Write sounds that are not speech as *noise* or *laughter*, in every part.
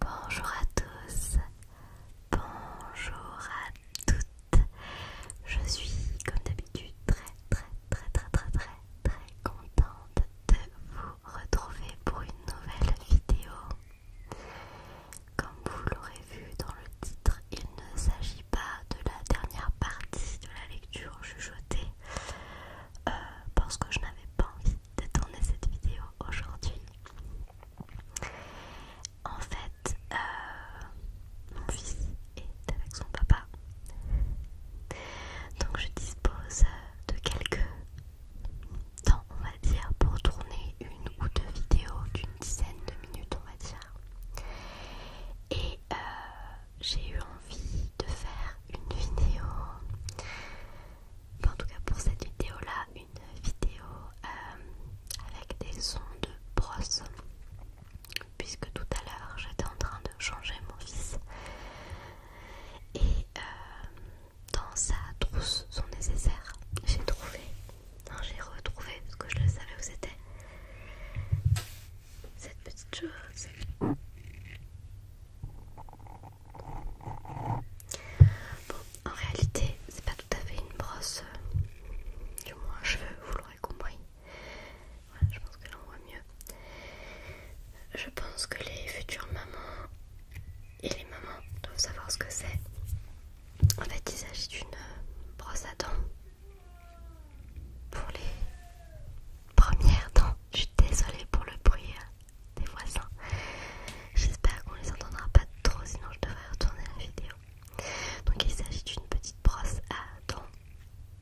Bonjour à tous, bonjour à toutes. Je suis comme d'habitude très très très très très très très contente de vous retrouver pour une nouvelle vidéo. Comme vous l'aurez vu dans le titre, il ne s'agit pas de la dernière partie de la lecture chuchotée euh, parce que je n'avais pas envie de tourner cette vidéo aujourd'hui. En fait, euh, mon fils est avec son papa. Donc je dispose de quelques temps, on va dire, pour tourner une ou deux vidéos d'une dizaine de minutes, on va dire. Et euh, j'ai eu envie de faire une vidéo, en tout cas pour cette vidéo là, une vidéo euh, avec des sons de brosse, puisque tout à l'heure j'étais en train de changer mon fils. Et euh, dans sa trousse, son nécessaire, j'ai trouvé, j'ai retrouvé parce que je le savais où c'était, cette petite chose. Bon, en réalité, c'est pas tout à fait une brosse, euh, du moins un cheveu, vous l'aurez compris. Voilà, je pense que là on voit mieux. Je pense que les futures mamans et les mamans doivent savoir ce que c'est. En fait, il s'agit d'une brosse à dents pour les première dent. Je suis désolée pour le bruit euh, des voisins. J'espère qu'on les entendra pas trop, sinon je devrais retourner la vidéo. Donc il s'agit d'une petite brosse à dents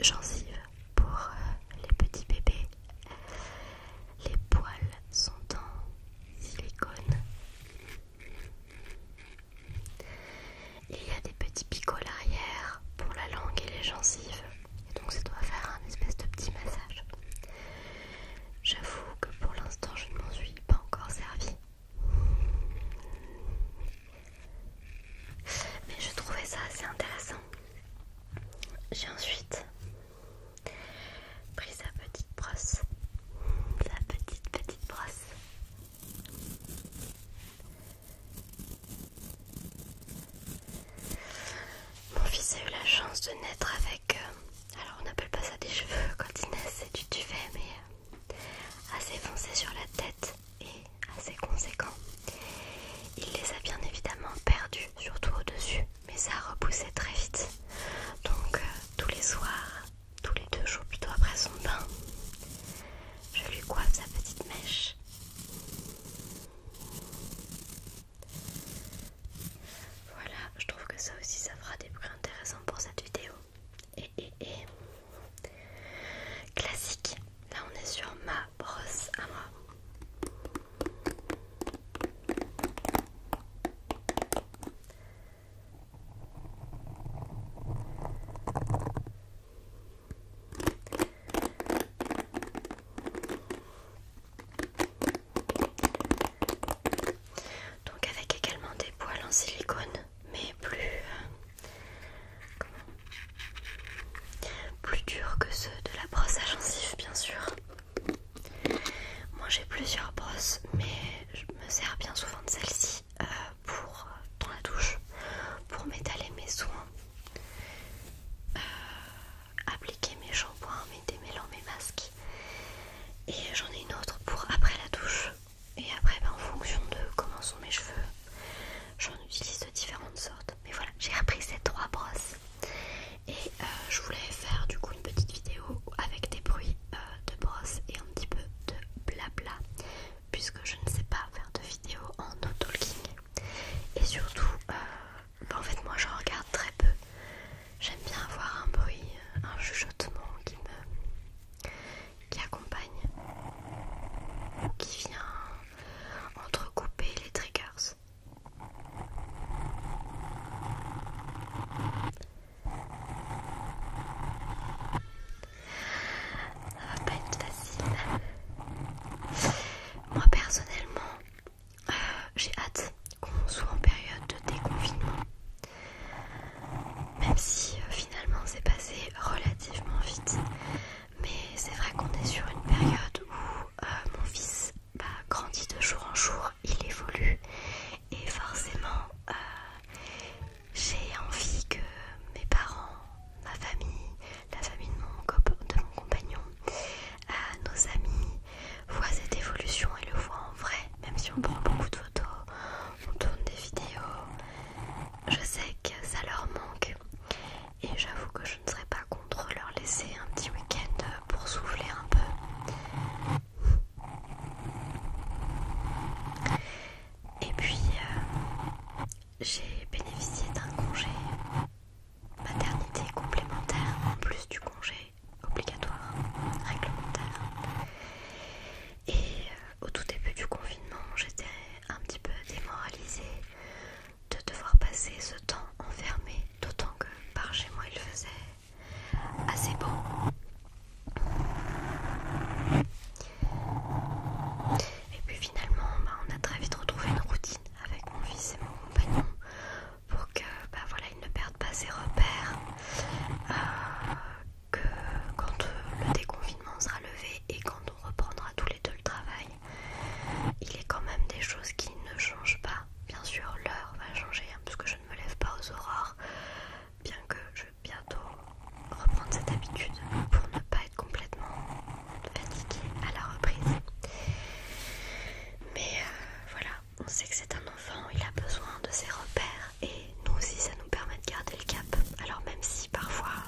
gencives pour euh, les petits bébés. Les poils sont en silicone. Il y a des petits picots à l'arrière pour la langue et les gencives. Et donc ça doit faire un espèce de petit massage. J'avoue que pour l'instant je ne m'en suis pas encore servi. Mais je trouvais ça assez intéressant. J'ai ensuite pris sa petite brosse. Sa petite petite brosse. Mon fils a eu la chance de naître avec, euh, alors on n'appelle pas ça des cheveux *laughs* quand il naît, c'est du duvet, mais euh, assez foncé sur la tête et assez conséquent. Il les a bien évidemment perdus, surtout au-dessus, mais ça a repoussé très vite. Donc euh, tous les soirs, tous les deux jours plutôt après son bain, je lui coiffe sa petite mèche. Voilà, je trouve que ça aussi ça fera des bruits intéressants pour cette vidéo. Et, et, et. Classique, là on est sur ma brosse à moi. Donc avec également des poils en silicone, mais plus euh, plus durs que ceux de la brosse à gencives bien sûr. Moi j'ai plusieurs brosses, mais je me sers bien souvent de celle-ci euh, pour, euh, dans la douche pour m'étaler mes soins, euh, appliquer mes shampoings, mes démêlants, mes masques. Et j'en ai une autre pour après la douche. Et après, ben, en fonction de comment sont mes cheveux, j'en utilise de différentes sortes. Mais voilà, j'ai repris ces trois brosses. Et euh, je voulais faire du coup une petite vidéo avec des bruits de brosses et un petit peu de blabla puisque je ne sais pas faire de vidéos en no talking et surtout euh, bah, en fait moi je regarde très peu j'aime bien avoir un bruit euh, un chuchotement qui me qui accompagne ou qui vient entrecouper les triggers ça va pas être facile. Moi personnellement, euh, j'ai hâte qu'on soit en période de déconfinement. Même si euh, finalement c'est passé relativement vite. Mais c'est vrai qu'on est sur une période où euh, mon fils bah, grandit de jour en jour, il évolue et forcément j'ai envie que mes parents, ma famille, la famille de mon, de mon compagnon, euh, nos amis voient cette évolution et le voient en vrai, même si on prend mhm. beaucoup de photos, on tourne des vidéos. Je sais que ça leur manque et j'avoue que je ne serais pas contre leur laisser un petit week-end pour souffler un peu. Et puis, euh, j'ai bénéficié d'un congé maternité complémentaire en plus du congé obligatoire, réglementaire. Et euh, au tout début du confinement, j'étais un petit peu démoralisée de devoir passer ce temps enfermé, d'autant que par chez moi il faisait assez beau. Et puis finalement, bah, on a très vite retrouvé une routine avec mon fils et mon compagnon pour que, bah, voilà, ne perde pas ses repères. Euh, que quand le déconfinement sera levé et quand on reprendra tous les deux le travail, il est quand même des choses qui ne changent pas. Bien sûr, l'heure va changer puisque hein, parce que je ne me lève pas aux aurores bien que je vais bientôt reprendre cette habitude pour ne pas être complètement fatiguée à la reprise. Mais euh, voilà, on sait que c'est un enfant, il a besoin de ses repères et nous aussi ça nous permet de garder le cap. Alors même si parfois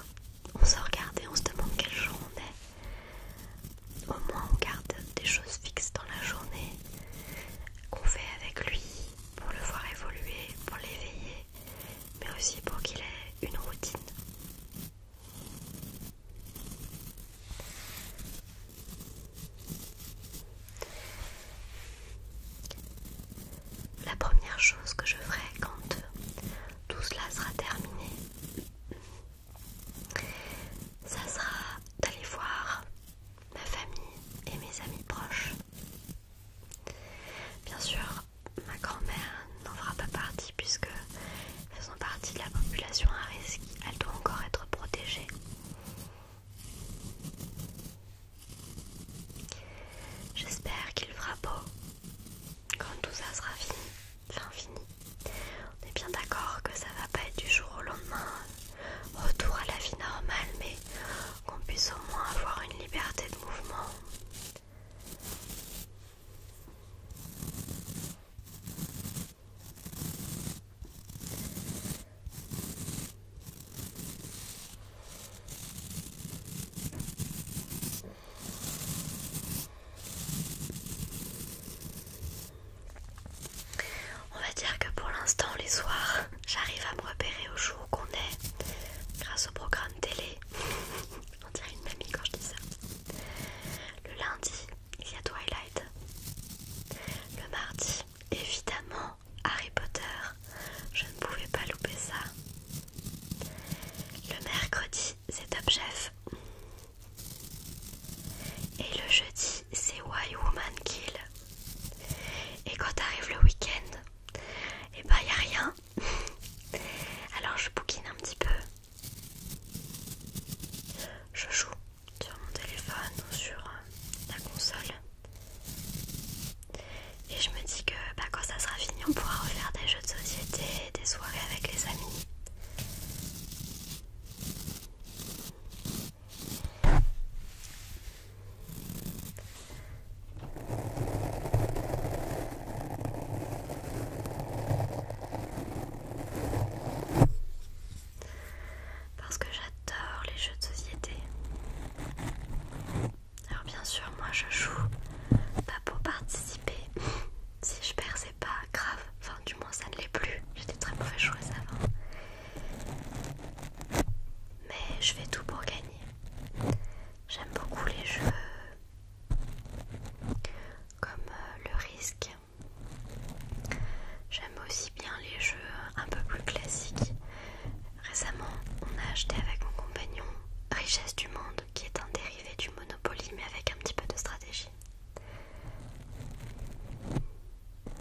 on se regarde et on se demande quel jour on est, au moins on garde des choses fixes dans la journée qu'on fait avec lui, pour le voir évoluer, pour l'éveiller, mais aussi pour qu'il ait une routine. La première chose que je ferai quand tout cela sera terminé, ça sera d'aller voir ma famille et mes amis proches. Bien sûr, ma grand-mère n'en fera pas partie puisque faisant partie de la population à risque, elle doit encore être protégée. J'espère qu'il fera beau quand tout ça sera fini. fini. On est bien d'accord que ça va pas être du jour au lendemain, retour à la vie normale, mais qu'on puisse au moins avoir une liberté de mouvement. On va dire que pour l'instant, les soirs, j'arrive à me repérer au jour qu'on est grâce au programme télé. *laughs* On dirait une mamie quand je dis ça. Le lundi, il y a Twilight. Le mardi, évidemment, Harry Potter. Je ne pouvais pas louper ça. Le mercredi, c'est Top Chef. Et le jeudi, c'est Why Woman Kill. Et quand arrive le week-end, et bah ben, y a rien. *laughs* Alors je bouquine un petit peu. Je joue sur mon téléphone ou sur euh, la console. Et je me dis que bah, quand ça sera fini, on pourra refaire des jeux de société, des soirées avec les amis. Parce que j'adore les jeux de société. Alors bien sûr, moi je joue pas pour participer. *laughs* si je perds, c'est pas grave du moins ça ne l'est plus, j'étais très mauvais joueuse avant. Mais je fais tout pour gagner. J'aime beaucoup les jeux comme euh, le risque. J'aime aussi bien les jeux un peu plus classiques. Récemment, on a acheté avec mon compagnon Richesse du Monde, qui est un dérivé du Monopoly mais avec un petit peu de stratégie.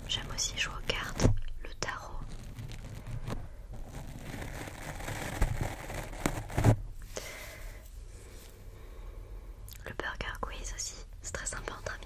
J'aime aussi jouer aux cartes, le tarot. Le burger quiz aussi, c'est très sympa entre amis.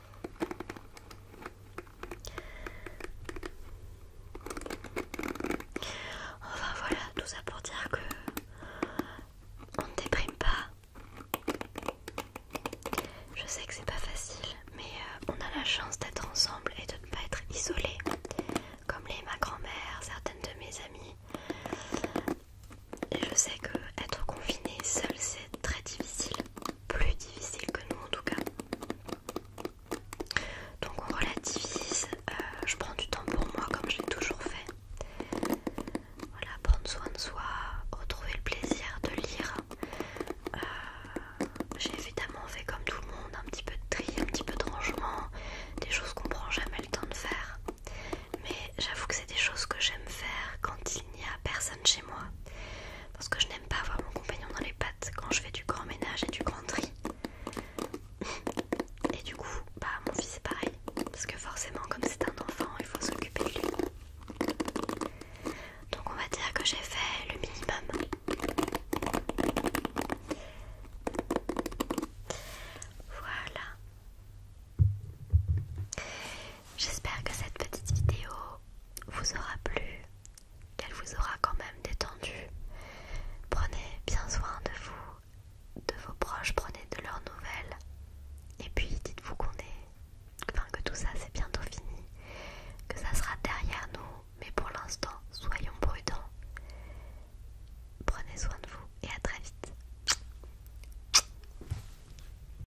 Enfin voilà, tout ça pour dire que on ne déprime pas. Je sais que c'est pas facile, mais euh, on a la chance d'être ensemble et de ne pas être isolés, comme les ma grand-mère, certaines de mes amies. Et je sais que être confiné seul c'est très difficile, plus difficile que nous en tout cas. Donc on relativise, euh, je prends du temps pour moi comme je l'ai toujours fait. Voilà, prendre soin de soi, retrouver le plaisir de lire. Euh, j'ai évidemment fait comme tout le monde un petit peu de tri, un petit peu de rangement, des choses qu'on prend jamais le temps de faire. Mais j'avoue que c'est des choses que j'aime faire quand il n'y a personne chez moi parce que je n'aime pas avoir mon compagnon dans les pattes quand je fais du grand ménage et du grand tri. Et du coup, bah mon fils c'est pareil, parce que forcément comme c'est un enfant, il faut s'occuper de lui. Donc on va dire que j'ai fait le minimum. Voilà. J'espère que cette petite vidéo vous aura plu, qu'elle vous aura quand même détendu. Prenez bien soin de vous, de vos proches, prenez de leurs nouvelles. Et puis dites-vous qu'on est, enfin que tout ça c'est bientôt fini, que ça sera derrière nous, mais pour l'instant soyons prudents. Prenez soin de vous et à très vite.